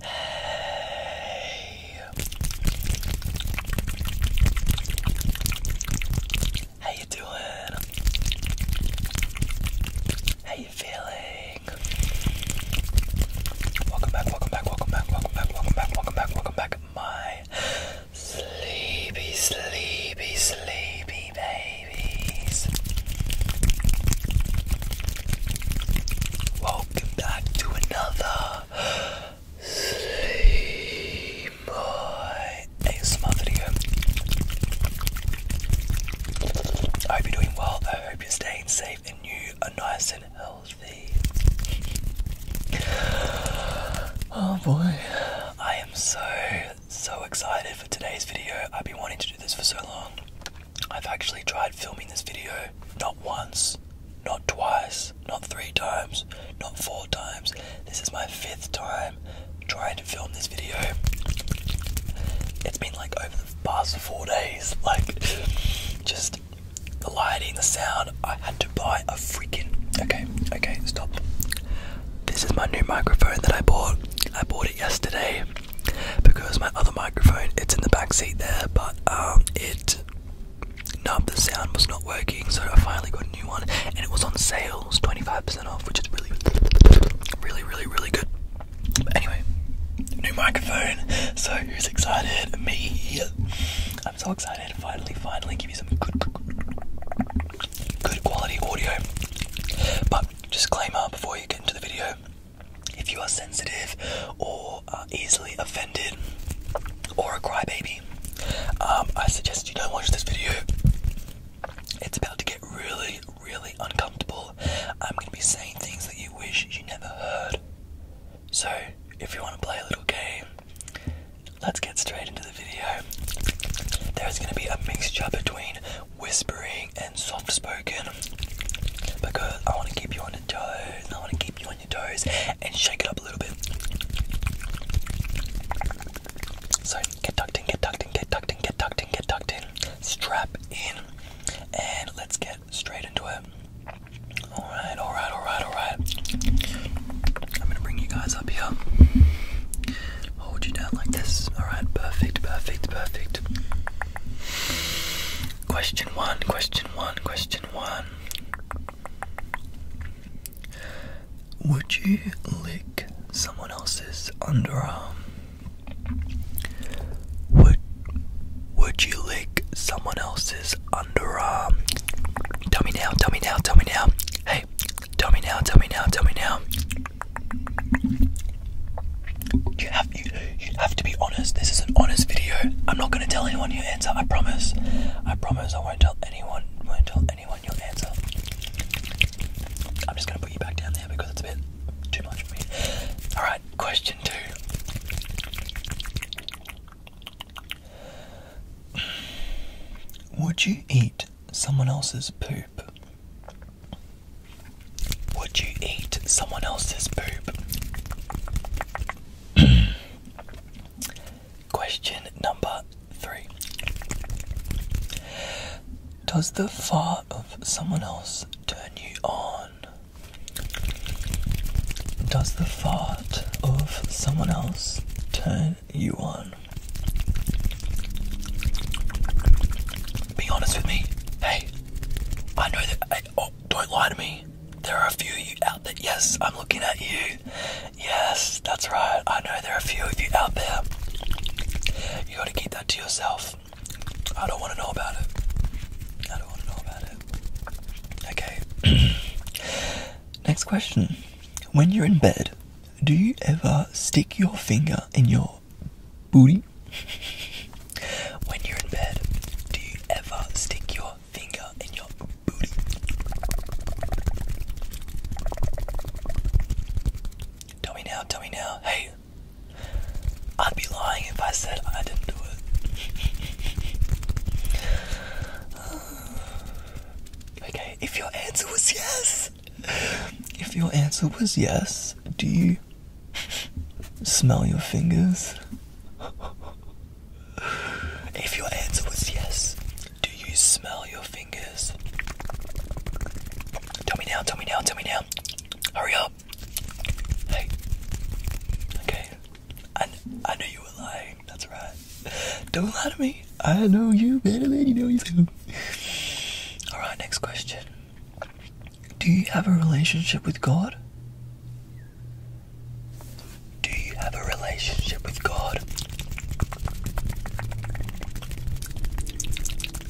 Hey. How you doing? How you feeling? Welcome back, welcome back, welcome back, welcome back, welcome back, welcome back, welcome back, my sleepy, sleepy, sleepy babies. Welcome back to another Sleep Boy ASMR video. I hope you're doing well. I hope you're staying safe and you are nice and healthy. Oh boy, I am so so excited for today's video. I've been wanting to do this for so long. I've actually tried filming this video not once, not twice, not three times, not four times. This is my fifth time trying to film this video. It's been like over the past four days, like just the lighting, the sound. I had to buy a freaking. Okay, okay, stop. This is my new microphone that I bought. I bought it yesterday because my other microphone it's in the back seat there, but um, it no, the sound was not working, so I finally got a new one, and it was on sales, twenty five percent off, which is really, really, really, really good. anyway, new microphone. So who's excited? Me. I'm so excited. Finally, finally, give you some good, good quality audio. But just disclaimer before you get into the video. If you are sensitive or are uh, easily offended or a crybaby, um, I suggest you don't watch this video. It's about to get really, really uncomfortable. I'm going to be saying things that you wish you never heard. So, if you want to play a little game, let's get straight into the video. There is going to be a mixture between whispering and soft spoken because I want to keep you on your toes. I want to keep you on your toes and shake it up a little bit. So get tucked in, get tucked in, get tucked in, get tucked in, get tucked in. Strap in and let's get straight into it. Alright, alright, alright, alright. I'm gonna bring you guys up here. Hold you down like this. Alright, perfect, perfect, perfect. Question one, question one, question one. Would you lick someone else's underarm? Would would you lick someone else's underarm? Tell me now, tell me now, tell me now. Hey, tell me now, tell me now, tell me now. You have you, you have to be honest. This is an honest video. I'm not gonna tell anyone your answer. I promise. I promise. I won't tell anyone. won't tell anyone your answer. I'm just gonna put you back down there because it's a bit too much for me. All right. Question two. Would you eat someone else's poop would you eat someone else's boob? Question number three Does the fart of someone else turn you on? Does the fart of someone else turn you on? Be honest with me. Hey, I know that. oh, don't lie to me. There are a few you out there. Yes, I'm looking at you. Yes, that's right. I know there are a few of you out there. You gotta keep that to yourself. I don't wanna know about it. I don't wanna know about it. Okay. Next question. When you're in bed, do you ever stick your finger in your booty? when you're in bed, do you ever stick your finger in your booty? Tell me now, tell me now. Hey, I'd be lying if I said I didn't do it. okay, if your answer was yes, if your answer was yes, do you smell your fingers? If your answer was yes, do you smell your fingers? Tell me now, tell me now, tell me now. Hurry up. Hey. Okay. I, I knew you were lying. That's right. Don't lie to me. I know you better than you know yourself. Alright, next question. Do you have a relationship with God? Do you have a relationship with God?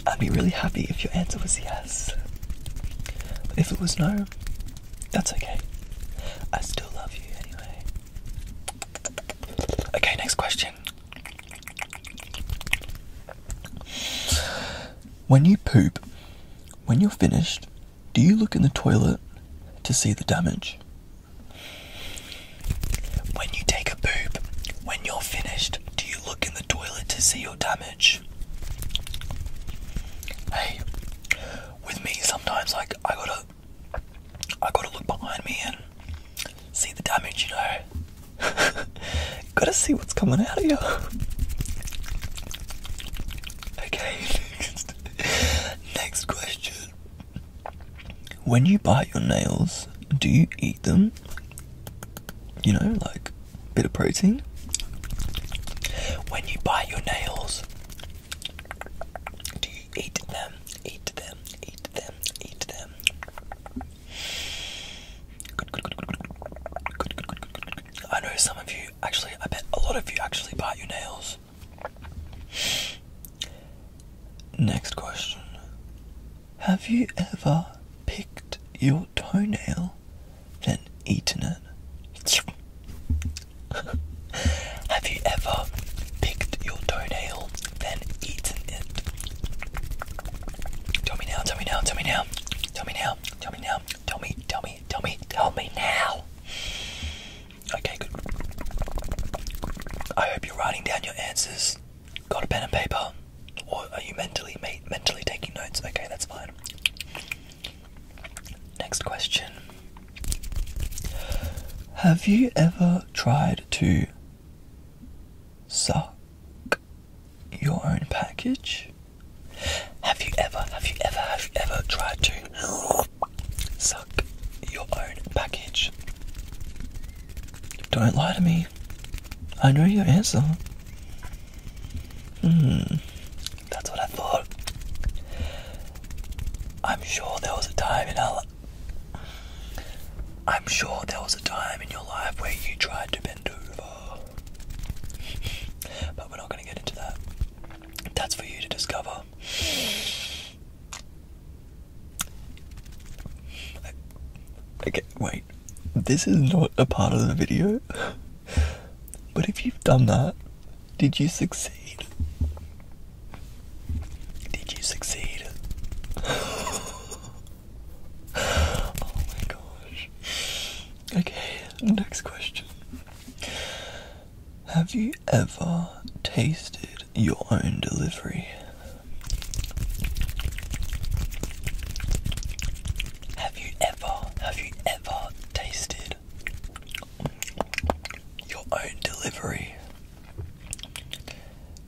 I'd be really happy if your answer was yes. if it was no, that's okay. I still love you anyway. Okay, next question. When you poop, when you're finished, do you look in the toilet to see the damage? When you take a poop, when you're finished, do you look in the toilet to see your damage? Hey, with me sometimes, like I gotta, I gotta look behind me and see the damage, you know. Gotta see what's coming out of you. Okay, next. question. When you bite your nails, do you eat them? You know, like bit of protein? When you bite your nails, do you eat them? Eat them, eat them, eat them. I know some of you actually, I bet a lot of you actually bite your nails. Next question. Have you ever picked your toenail, and eaten it? Have you ever picked your toenail then eaten Tell me now, tell me now, tell me now. Tell me now, tell me now, tell me, tell me, tell me, tell me now. Okay, good. I hope you're writing down your answers. Got a pen and paper? Or are you mentally mentally taking notes? Okay, that's fine. Next question. Have you ever tried to Suck your own package? Have you ever, have you ever, have you ever tried to suck your own package? Don't lie to me. I know your answer. Hmm, that's what I thought. I'm sure there was a time in our I'm sure there was a time in your life where you tried to bend over. but we're not going to get into that. That's for you to discover. Okay, wait. This is not a part of the video. But if you've done that, did you succeed? Did you succeed? Oh my gosh. Okay, next question. Have you ever tasted your own delivery? Have you ever, have you ever tasted your own delivery?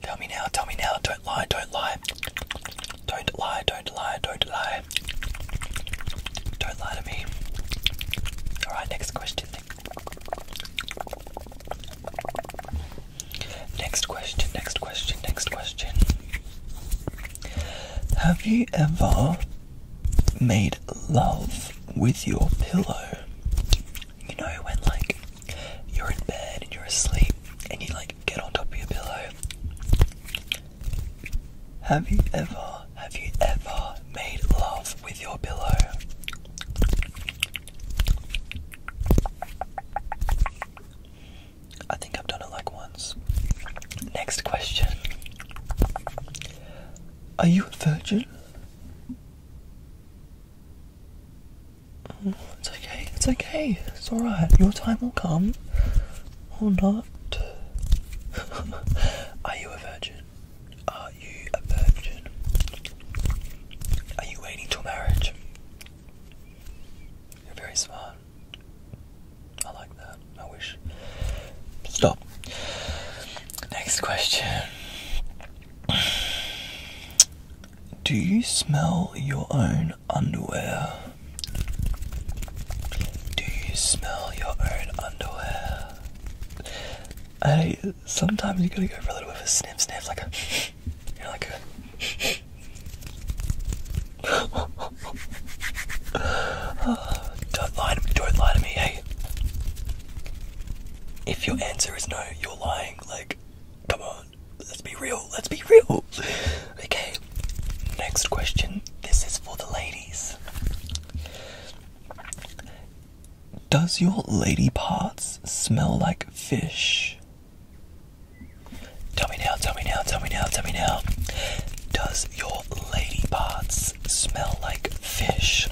Tell me now, tell me now, don't lie, don't lie. Don't lie, don't lie, don't lie. Don't lie to me. Alright, next question. Next question, next question, next question. Have you ever made love with your pillow? You know when like you're in bed and you're asleep and you like get on top of your pillow. Have you ever, have you ever made love with your pillow? I think I've done it like once. Next question. Are you a virgin? It's okay, it's okay, it's alright. Your time will come. Or not. Are you a virgin? Are you a virgin? Are you waiting till marriage? You're very smart. I like that. I wish. Stop. Next question. Do you smell your own underwear? Do you smell your own underwear? Hey, sometimes you gotta go for a little bit of a sniff sniff, like a. You know, like a. don't lie to me, don't lie to me, hey. If your answer is no, you're lying. Like, come on, let's be real. Let's be real. Okay, next question. This is for the ladies. Does your lady parts smell like fish? Tell me now, tell me now, tell me now, tell me now. Does your lady parts smell like fish?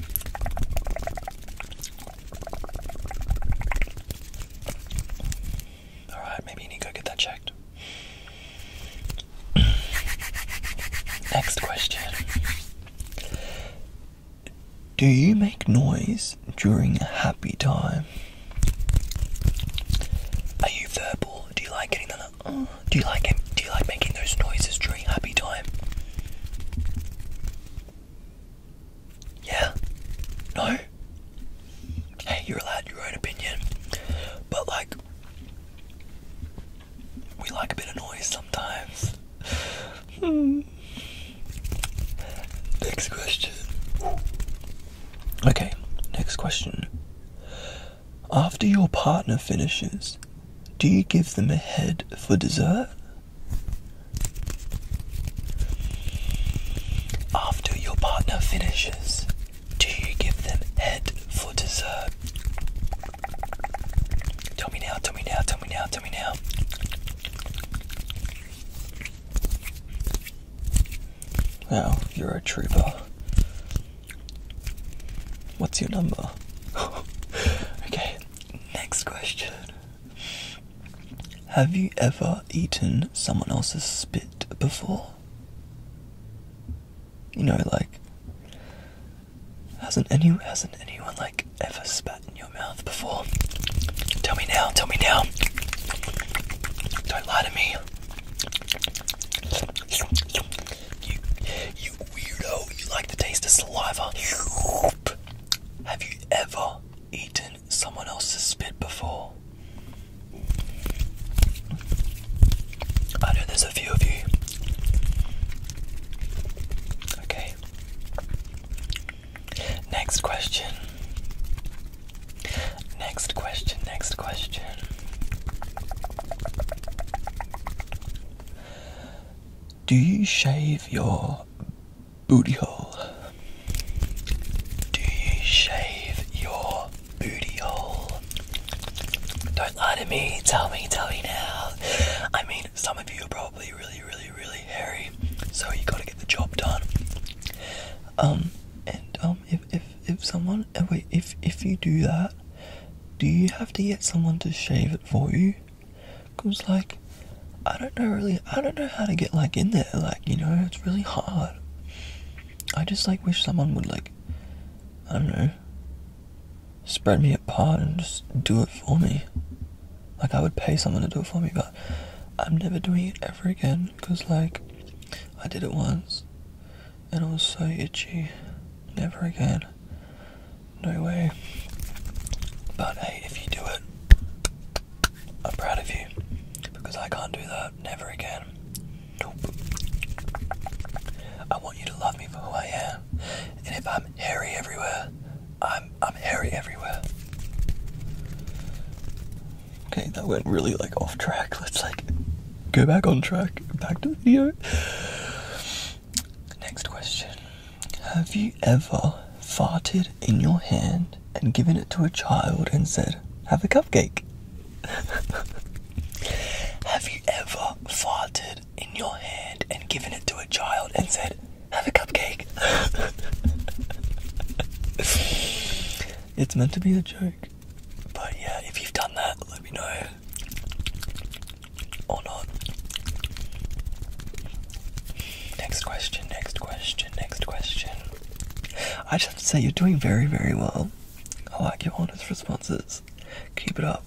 Alright, maybe you need to get that checked. Next question. Do you make noise during happy time? Are you verbal? Do you like getting that? Uh, do you like Do you like making those noises during happy time? Yeah? No? Hey, you're allowed your own opinion. But, like, we like a bit of noise sometimes. Hmm. next question. Okay, next question. After your partner finishes, do you give them a head for dessert after your partner finishes, do you give them head for dessert? Tell me now, tell me now, tell me now, tell me now. Wow, you're a trooper. What's your number? okay, next question. Have you ever eaten someone else's spit before? You know, like hasn't any hasn't anyone like ever spat in your mouth before? Tell me now, tell me now. Don't lie to me. You you weirdo, you like the taste of saliva. Have you ever eaten someone else's spit before? I know there's a few of you. Okay. Next question. Next question, next question. Do you shave your booty hole? Do you shave your booty hole? Don't lie to me, tell me, tell me now. I mean, some of you are probably really, really, really hairy, so you gotta get the job done. Um, and um, if, if, if someone, uh, wait, if, if you do that, do you have to get someone to shave it for you? Cause like, I don't know really, I don't know how to get like in there. Like, you know, it's really hard. I just like wish someone would like, I don't know, spread me apart and just do it for me. Like, I would pay someone to do it for me, but I'm never doing it ever again. Cause like, I did it once, and it was so itchy. Never again. No way. But hey, if you do it, I'm proud of you. Because I can't do that never again. Nope. I want you to love me for who I am. And if I'm hairy everywhere, I'm I'm hairy everywhere. Okay, that went really like off track. Let's like go back on track. Back to the video. Next question. Have you ever farted in your hand and given it to a child and said, Have a cupcake? Have you ever farted in your hand and given it to a child and said, Have a cupcake? it's meant to be a joke. But yeah, if you've done that, let me know or not. Next question, next question, next question. I just say, you're doing very, very well. I like your honest responses. Keep it up.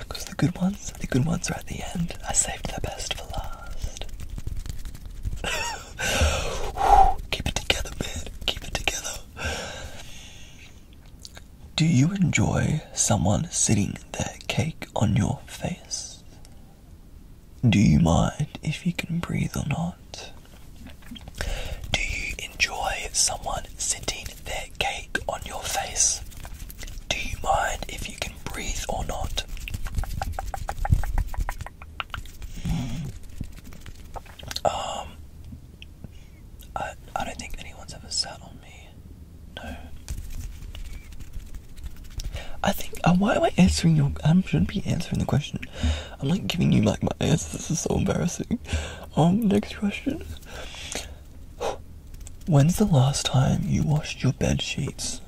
Because the good ones, the good ones are at the end. I saved the best for last. Keep it together, man. Keep it together. Do you enjoy someone sitting their cake on your face? Do you mind if you can breathe or not? Do you enjoy someone sitting their cake on your face? Do you mind if you can breathe or not? Um, I, I don't think anyone's ever sat on me. No. I think. Uh, why am I answering your? I shouldn't be answering the question. I'm like giving you like my answer. This is so embarrassing. Um. Next question. When's the last time you washed your bed sheets?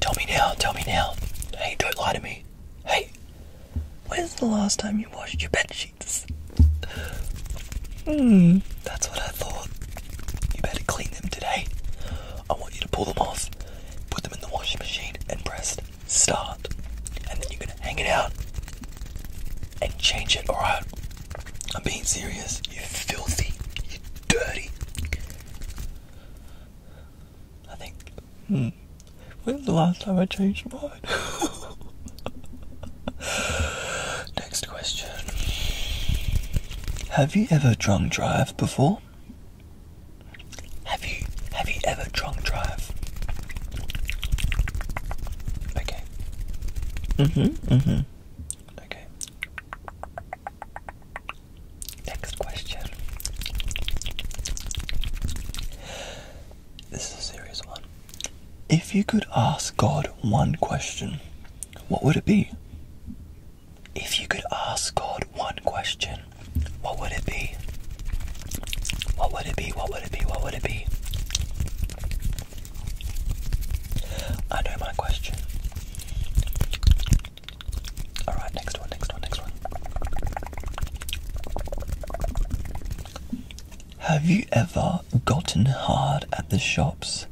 Tell me now. Tell me now. Hey, don't lie to me. Hey. When's the last time you washed your bed sheets? Hmm. that's what I thought. You better clean them today. I want you to pull them off, put them in the washing machine, and press start. And then you're gonna hang it out and change it, alright? I'm being serious. You filthy. You dirty. I think. Hmm. When's the last time I changed mine? Next question. Have you ever drunk drive before? Have you have you ever drunk drive? Okay. Mm-hmm. Mm-hmm. Okay. Next question. This is a serious one. If you could ask God one question, what would it be? If you could ask God one question, what would it be? What would it be? What would it be? What would it be? I know my question. Alright, next one, next one, next one. Have you ever gotten hard at the shops?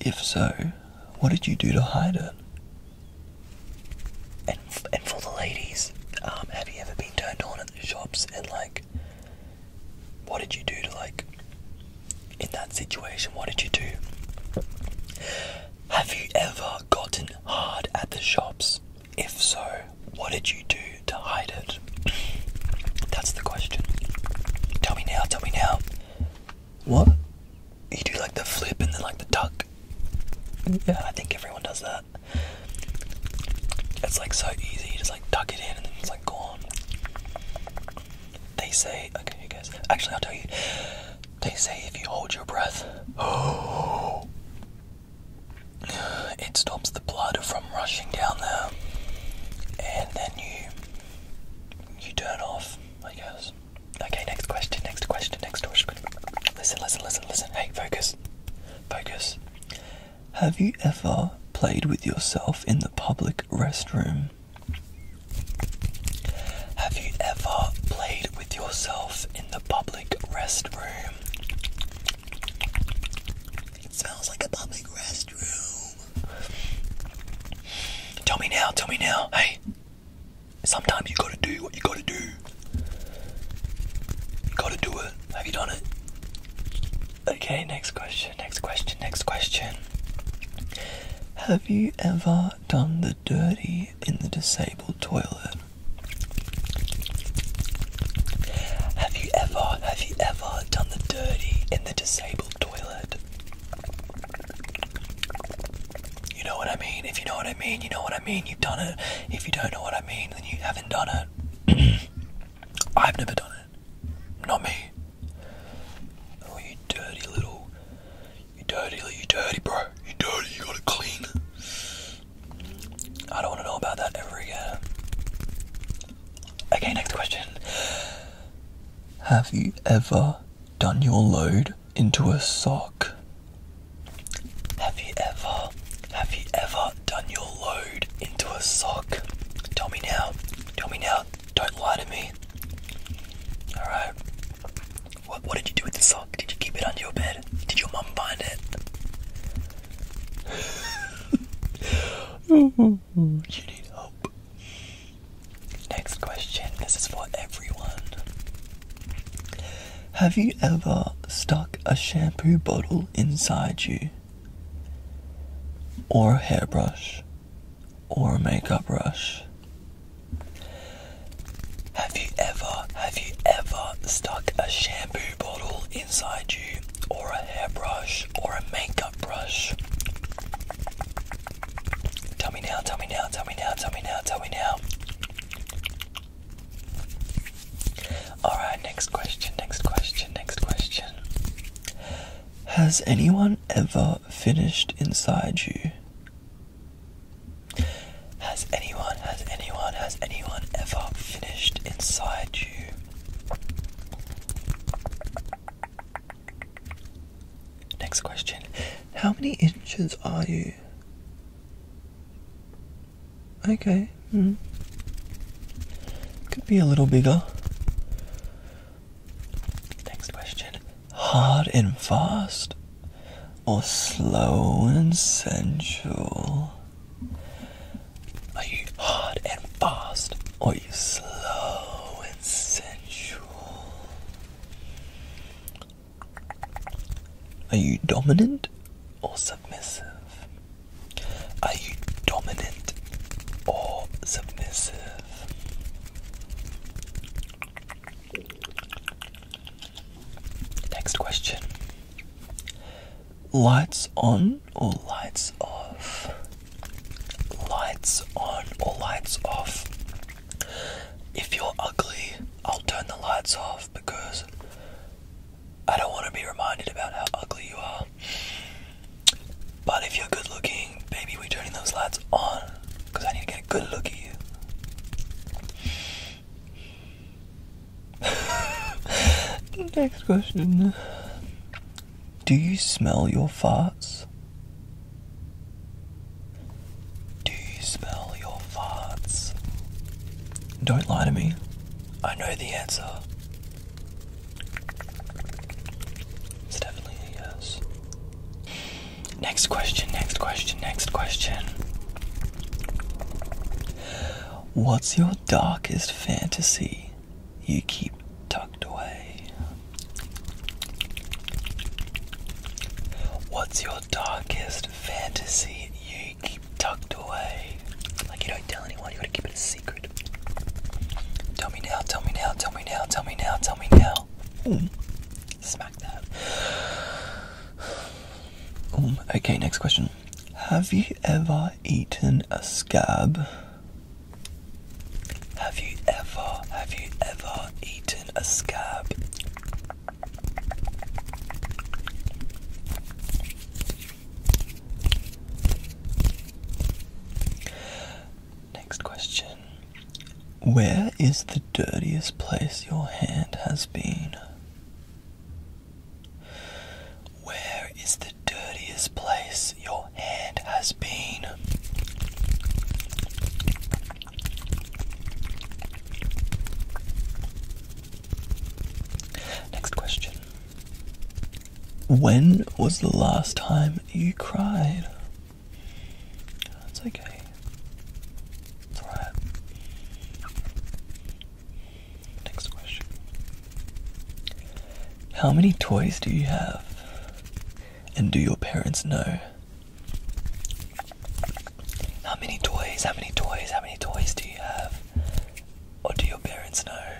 If so, what did you do to hide it? And, and for the ladies, um, have you ever been turned on at the shops and like, what did you do to like, in that situation, what did you do? Have you ever gotten hard at the shops? If so, what did you do to hide it? That's the question. Tell me now, tell me now. What? You do like the flip and then like the tuck. Yeah, I think everyone does that. It's like so easy, just like tuck it in and then it's like gone. They say, okay, you guys, actually, I'll tell you. They say if you hold your breath, it stops the blood from rushing down there, and then you you turn off, I guess. Okay, next question, next question, next question. Listen, listen, listen, listen. Hey, focus, focus. Have you ever played with yourself in the public restroom? Have you ever played with yourself in the public restroom? It smells like a public restroom. Tell me now, tell me now. Hey, sometimes you gotta do what you gotta do. You gotta do it. Have you done it? Okay, next question, next question, next question. Have you ever done the dirty in the disabled toilet? Have you ever, have you ever done the dirty in the disabled toilet? You know what I mean? If you know what I mean, you know what I mean, you've done it. If you don't know what I mean, then you haven't done it. I've never done it. Not me. Oh, you dirty little. You dirty, you dirty, bro. You dirty, you gotta clean. I don't want to know about that ever again. Okay, next question. Have you ever done your load into a sock? Have you ever, have you ever done your load into a sock? Tell me now. Tell me now. Don't lie to me. Alright. What, what did you do with the sock? Did you keep it under your bed? Did your mum find it? you need help. Next question. This is for everyone. Have you ever stuck a shampoo bottle inside you? Or a hairbrush? Or a makeup brush? Have you ever, have you ever stuck a shampoo bottle inside you, or a hairbrush, or a makeup brush. Tell me now, tell me now, tell me now, tell me now, tell me now. Alright, next question, next question, next question. Has anyone ever finished inside you? Has anyone, has anyone, has anyone ever finished inside you? Next question. How many inches are you? Okay. Mm. Could be a little bigger. Next question. Hard and fast or slow and sensual? Are you hard and fast, or you slow and sensual? Are you dominant or submissive? Are you dominant or submissive? Next question. Lights on or lights off? Lights on or lights off? If you're ugly, I'll turn the lights off because I don't want to be reminded about how ugly you are. But if you're good looking, baby, we're turning those lights on because I need to get a good look at you. Next question. Do you smell your farts? Do you smell your farts? Don't lie to me. I know the answer. It's definitely yes. Next question, next question, next question. What's your darkest fantasy you keep tucked away? What's your darkest fantasy you keep tucked away? Like you don't tell anyone, you gotta keep it a secret. Tell me now, tell me now, tell me now, tell me now, tell me now. Smack that okay, next question. Have you ever eaten a scab? Have you ever, have you ever eaten a scab? Next question. Where is the dirtiest place your hand has been? Where is the dirtiest place your hand has been? Next question. When was the last time you cried? That's okay. Alright. Next question. How many toys do you have? And do your parents know? How many toys, how many toys, how many toys do you have? Or do your parents know?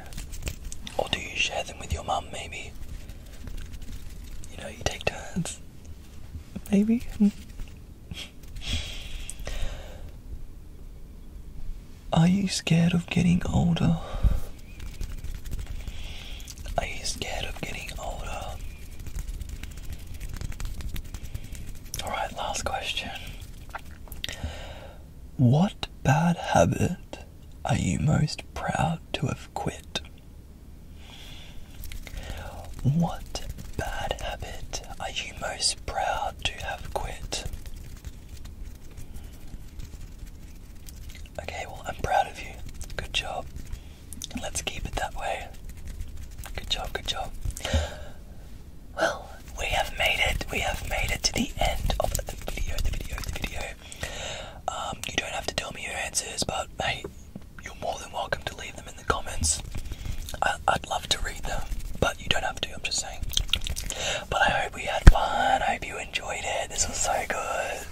Or do you share them with your mum, maybe? You know, you take turns. Maybe? Hmm. Are you scared of getting older? Are you scared of getting older? Alright, last question. What bad habit are you most proud to have quit? What bad habit are you most proud to have quit? Okay, well, I'm proud of you. Good job. Let's keep it that way. Good job, good job. Well, we have made it. We have made it to the end of the video, the video, the video. Um, you don't have to tell me your answers, but hey, you're more than welcome to leave them in the comments. I, would love to read them, but you don't have to, I'm just saying. But I hope we had fun. I hope you enjoyed it. This was so good.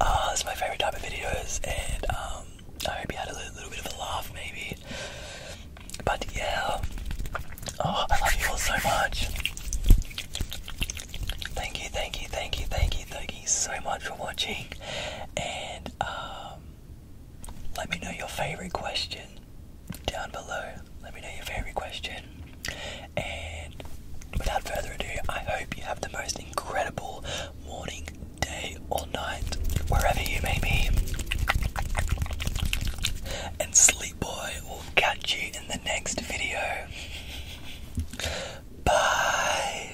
Uh, this is my favorite type of videos, and um, I hope you had a little, little bit of a laugh, maybe. But yeah, oh, I love you all so much. Thank you, thank you, thank you, thank you, thank you so much for watching, and um, let me know your favorite question down below. Let me know your favorite question. And without further ado, I hope you have the most incredible morning, day, or night, wherever you may be. And Sleep Boy will catch you in the next video. Bye.